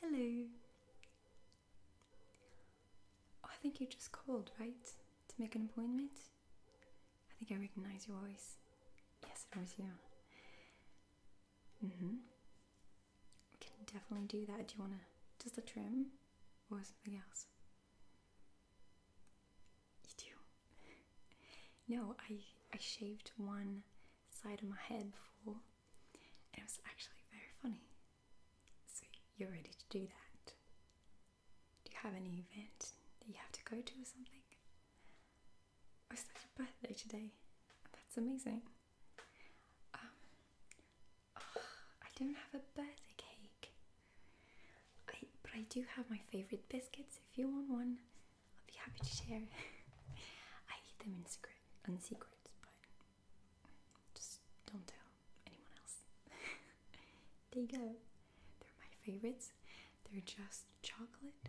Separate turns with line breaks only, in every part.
Hello. Oh, I think you just called, right? To make an appointment? I think I recognize your voice. Yes, it was you. Mm hmm. can definitely do that. Do you want to just a trim or something else? You do? No, I I shaved one side of my head before, and it was actually very funny. So, you're ready to do that? Do you have any event that you have to go to or something? Oh, it's like your birthday today. That's amazing. Um, oh, I don't have a birthday cake. but I do have my favorite biscuits if you want one. I'll be happy to share. I eat them in secret, in secret, but just don't tell anyone else. there you go. They're my favorites. They're just chocolate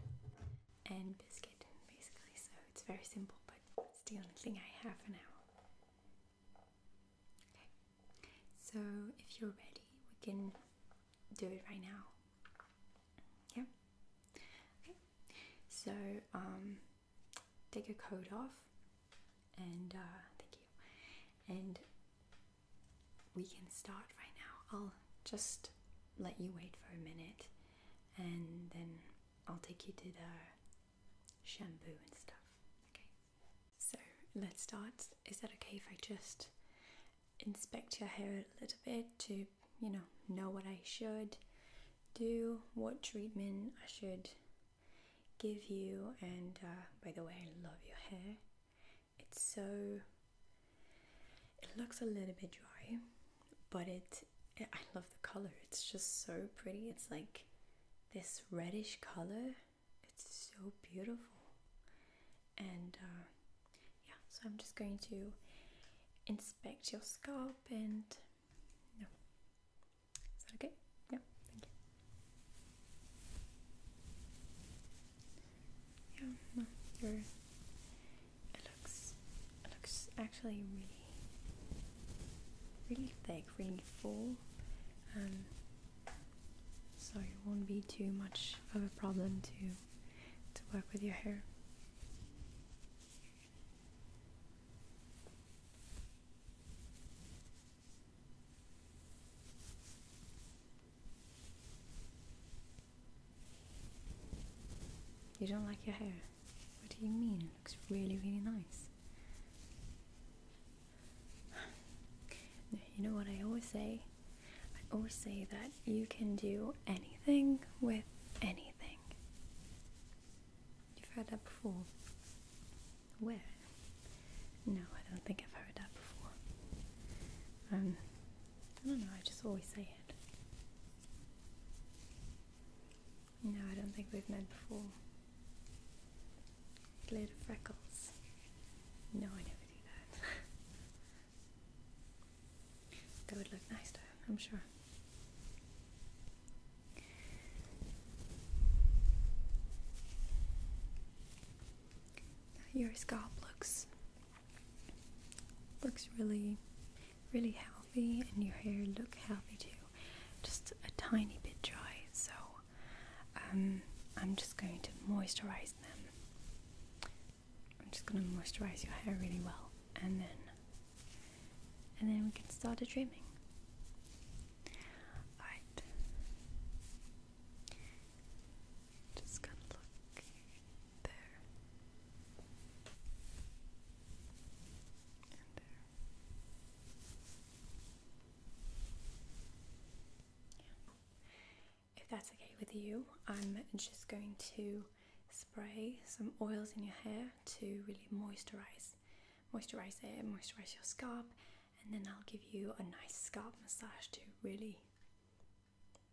and biscuit, basically. So it's very simple, but it's the only thing I have for now. Okay, so if you're ready, we can do it right now. Yeah. Okay. So um, take your coat off, and uh, thank you. And we can start right now. I'll just let you wait for a minute, and then I'll take you to the shampoo and stuff. Okay. So let's start. Is that okay if I just inspect your hair a little bit to you know, know what I should do, what treatment I should give you. And uh, by the way, I love your hair. It's so. It looks a little bit dry, but it. I love the color. It's just so pretty. It's like this reddish color. It's so beautiful. And uh, yeah so I'm just going to inspect your scalp and no is that okay yeah yeah no your it looks it looks actually really really thick really full um, so it won't be too much of a problem to to work with your hair you don't like your hair? What do you mean? It looks really, really nice. You know what I always say? I always say that you can do anything with anything. You've heard that before? Where? No, I don't think I've heard that before. Um, I don't know, I just always say it. No, I don't think we've met before. Glitter freckles. No, I never do that. That would look nice though, I'm sure. Your scalp looks looks really really healthy and your hair look healthy too. Just a tiny bit dry, so um, I'm just going to moisturize them I'm just gonna moisturize your hair really well and then and then we can start a trimming. Alright. Just gonna look there. And there. Yeah. If that's okay with you, I'm just going to spray some oils in your hair to really moisturize moisturize it moisturize your scalp and then I'll give you a nice scalp massage to really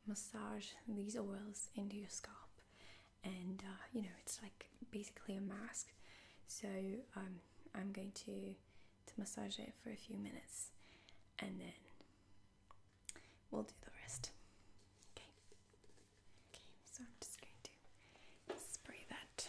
massage these oils into your scalp and uh, you know it's like basically a mask so um, I'm going to to massage it for a few minutes and then we'll do the rest okay Okay, so I'm just going to spray that.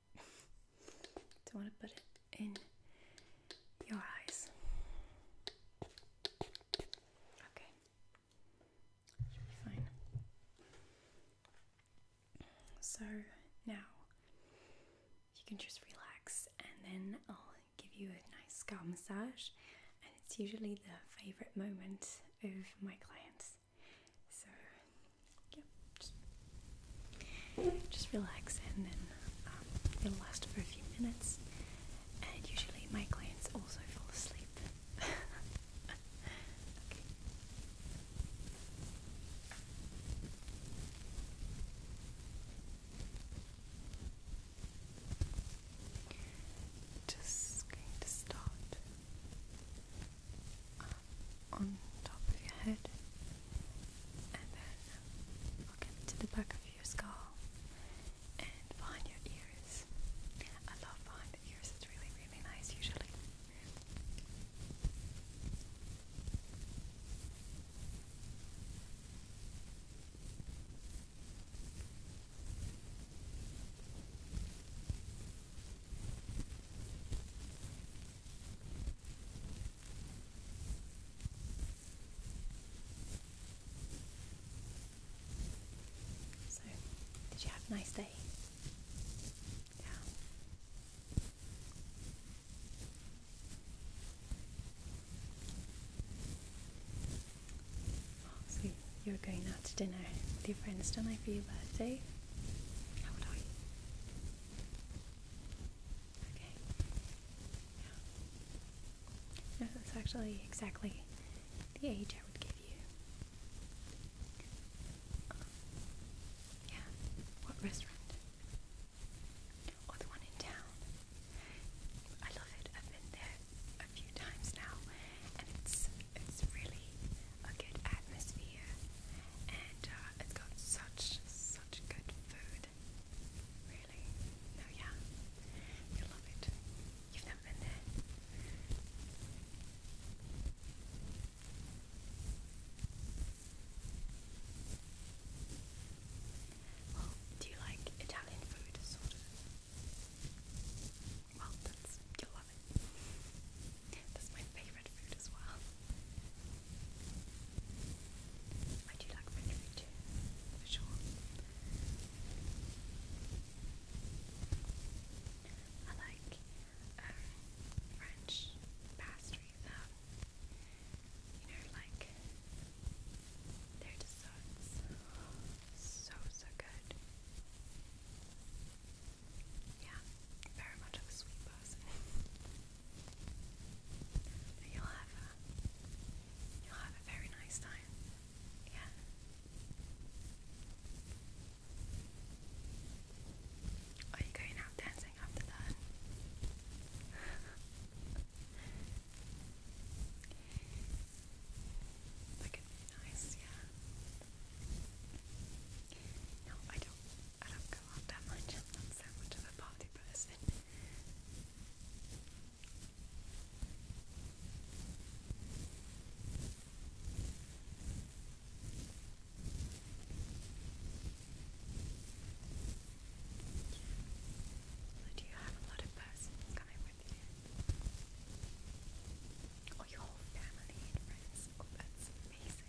Don't want to put it in your eyes. Okay. Should be fine. So now you can just relax and then I'll give you a nice scalp massage and it's usually the favorite moment of my clients. So yeah, just, relax and then um, it'll last for a few minutes. And usually my clients also fall asleep. okay. Just going to start um, on top of your head and then look into the back of your skull and behind your ears. I love behind the ears, it's really, really nice usually. So, did you have a nice day? Yeah. Oh, so you're going out to dinner with your friends tonight for your birthday? How old are Okay. Yeah. No, that's actually exactly the age I would give you. yeah. What restaurant? Or one in town. I love it. I've been there a few times now, and it's it's really a good atmosphere, and uh, it's got such such good food. Really? No, yeah. you love it. You've never been there. Well, do you like Italian food, sort of? Well, that's, you love it. That's my favourite favorite food as well. I do like French food too, for sure. I like um, French pastries you know, like their desserts. So, so good. Yeah, very much a sweet person. And you'll have a you'll have a very nice time. Yeah. Are you going out dancing after that? that could be nice, yeah. No, I don't I don't go out that much. not so much of a party other do you have a lot of persons coming with you? Or your whole family and friends? Oh, that's amazing.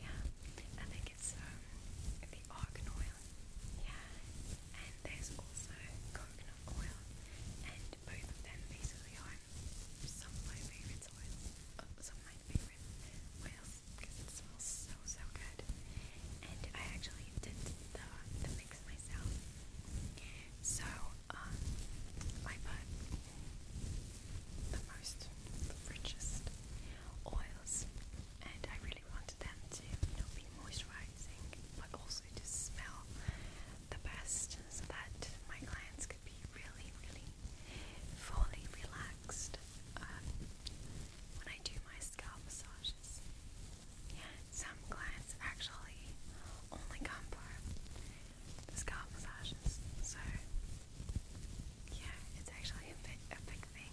Yeah, I think it's um, the argan oil. Yeah, and there's also coconut oil, and both of them basically are some of my favourite oils. Uh, some of my favourite oils because it smells so so good. And I actually did the the mix myself. So um, I put the most, richest oils, and I really wanted them to, you be moisturizing, but also to smell the best, so that my clients could be really, really fully relaxed um, when I do my scalp massages. Some clients actually only come for scalp massages, so yeah, it's actually a big, a big thing.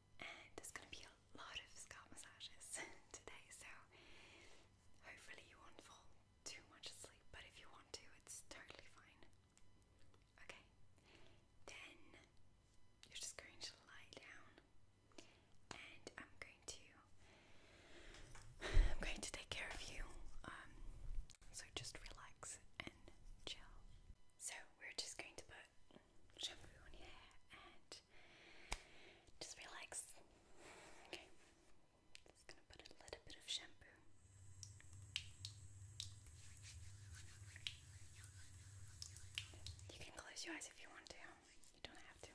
and there's going to be a lot of scalp massages today, so hopefully you won't fall too much asleep, but if you want to, it's totally fine. Okay, then you're just going to lie down, and I'm going to I'm going to take care of you. Um, so just relax and chill. So we're just going to put shampoo on your hair and just relax. Okay, just gonna put a little bit of shampoo. You can close your eyes if you want to, you don't have to.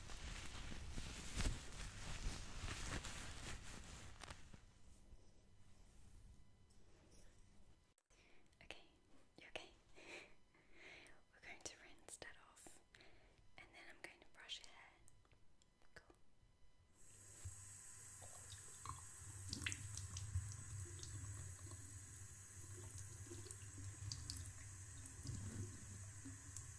Okay, you okay? We're going to rinse that off and then I'm going to brush your hair. Cool.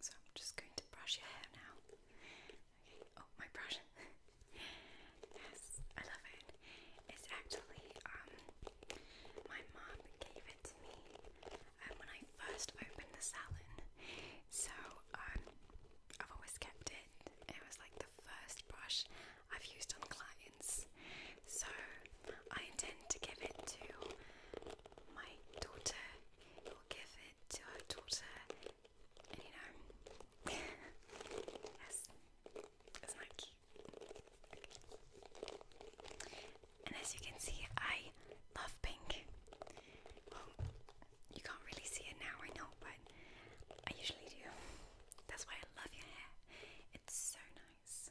So I'm just going to brush your hair now. Okay. Oh, my brush. yes, I love it. It's actually um my mom gave it to me um, when I first opened the salon. So um I've always kept it. It was like the first brush I've used on clients. So I intend to give it to my daughter will give it to our daughter, and you know, yes, is And as you can see, I love pink. you can't really see it now, I know, but I usually do. That's why I love your hair. It's so nice.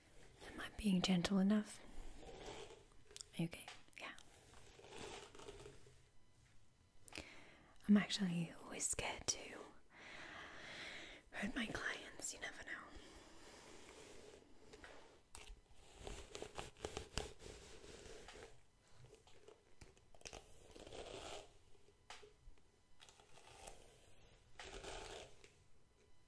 Am I being gentle enough? Okay, yeah. I'm actually always scared to hurt my clients, you never know.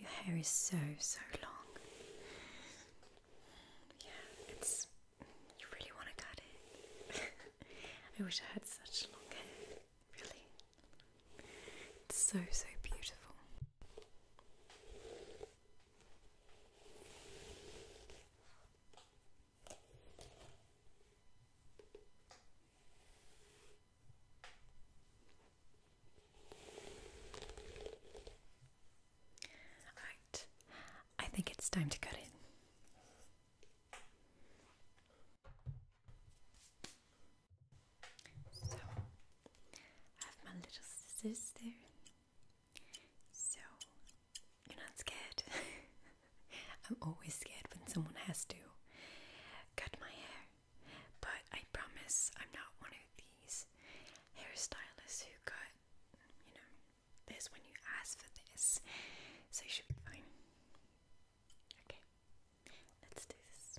Your hair is so, so long. Yeah, it's. You really want to cut it. I wish I had such long hair. Really. It's so, so beautiful. Alright, I think it's time to cut it. So, I have my little scissors So, you're not scared. I'm always scared when someone has to cut my hair. But I promise I'm not one of these hairstylists who got, you know, this when you ask for this. So you should be fine. Okay, let's do this.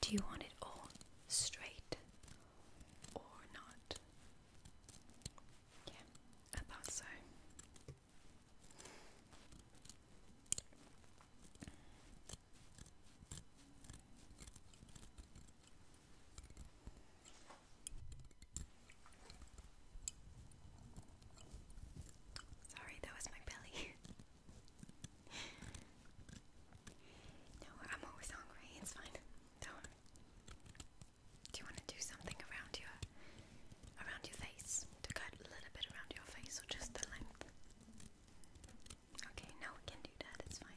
Do you want it all straight or not? Yeah, I thought so. Sorry, that was my belly. no, I'm always hungry. It's fine. do you want to do something around your around your face to cut a little bit around your face, or just the length? Okay, no, we can do that. It's fine.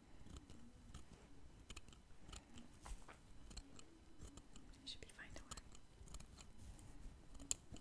Should be fine to work. Okay.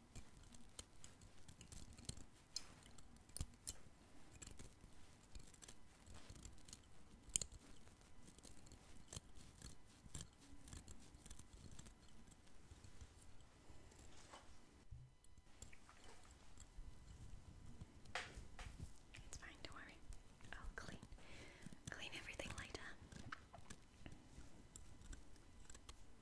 It's fine, don't worry. I'll clean clean everything later.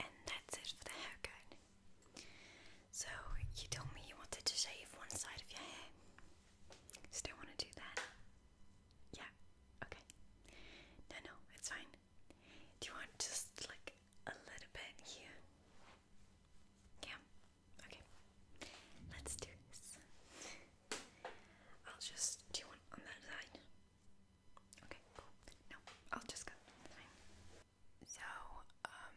And that's it for the haircut. So, you told me you wanted to shave one side of your hair. Still want to do that? Yeah, okay. No, no, it's fine. Do you want just like a little bit here? Yeah, okay. Let's do this. I'll just. Do you want on that side? Okay, cool. No, I'll just go. Fine. So, um,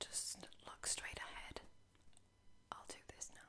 just look straight ahead. I'll do this now.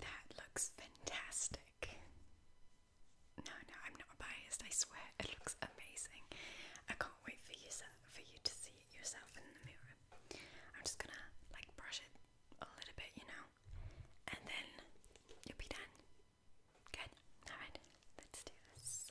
That looks fantastic. No, no, I'm not biased. I swear, it looks amazing. I can't wait for you for you to see it yourself in the mirror. I'm just gonna like brush it a little bit, you know, and then you'll be done. Good. All right. Let's do this.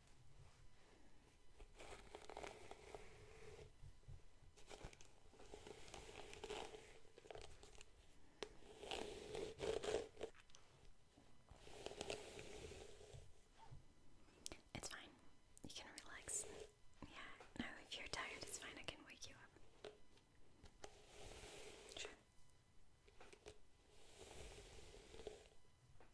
It's fine. You can relax. Yeah, no, if you're tired, it's fine. I can wake you up. Sure.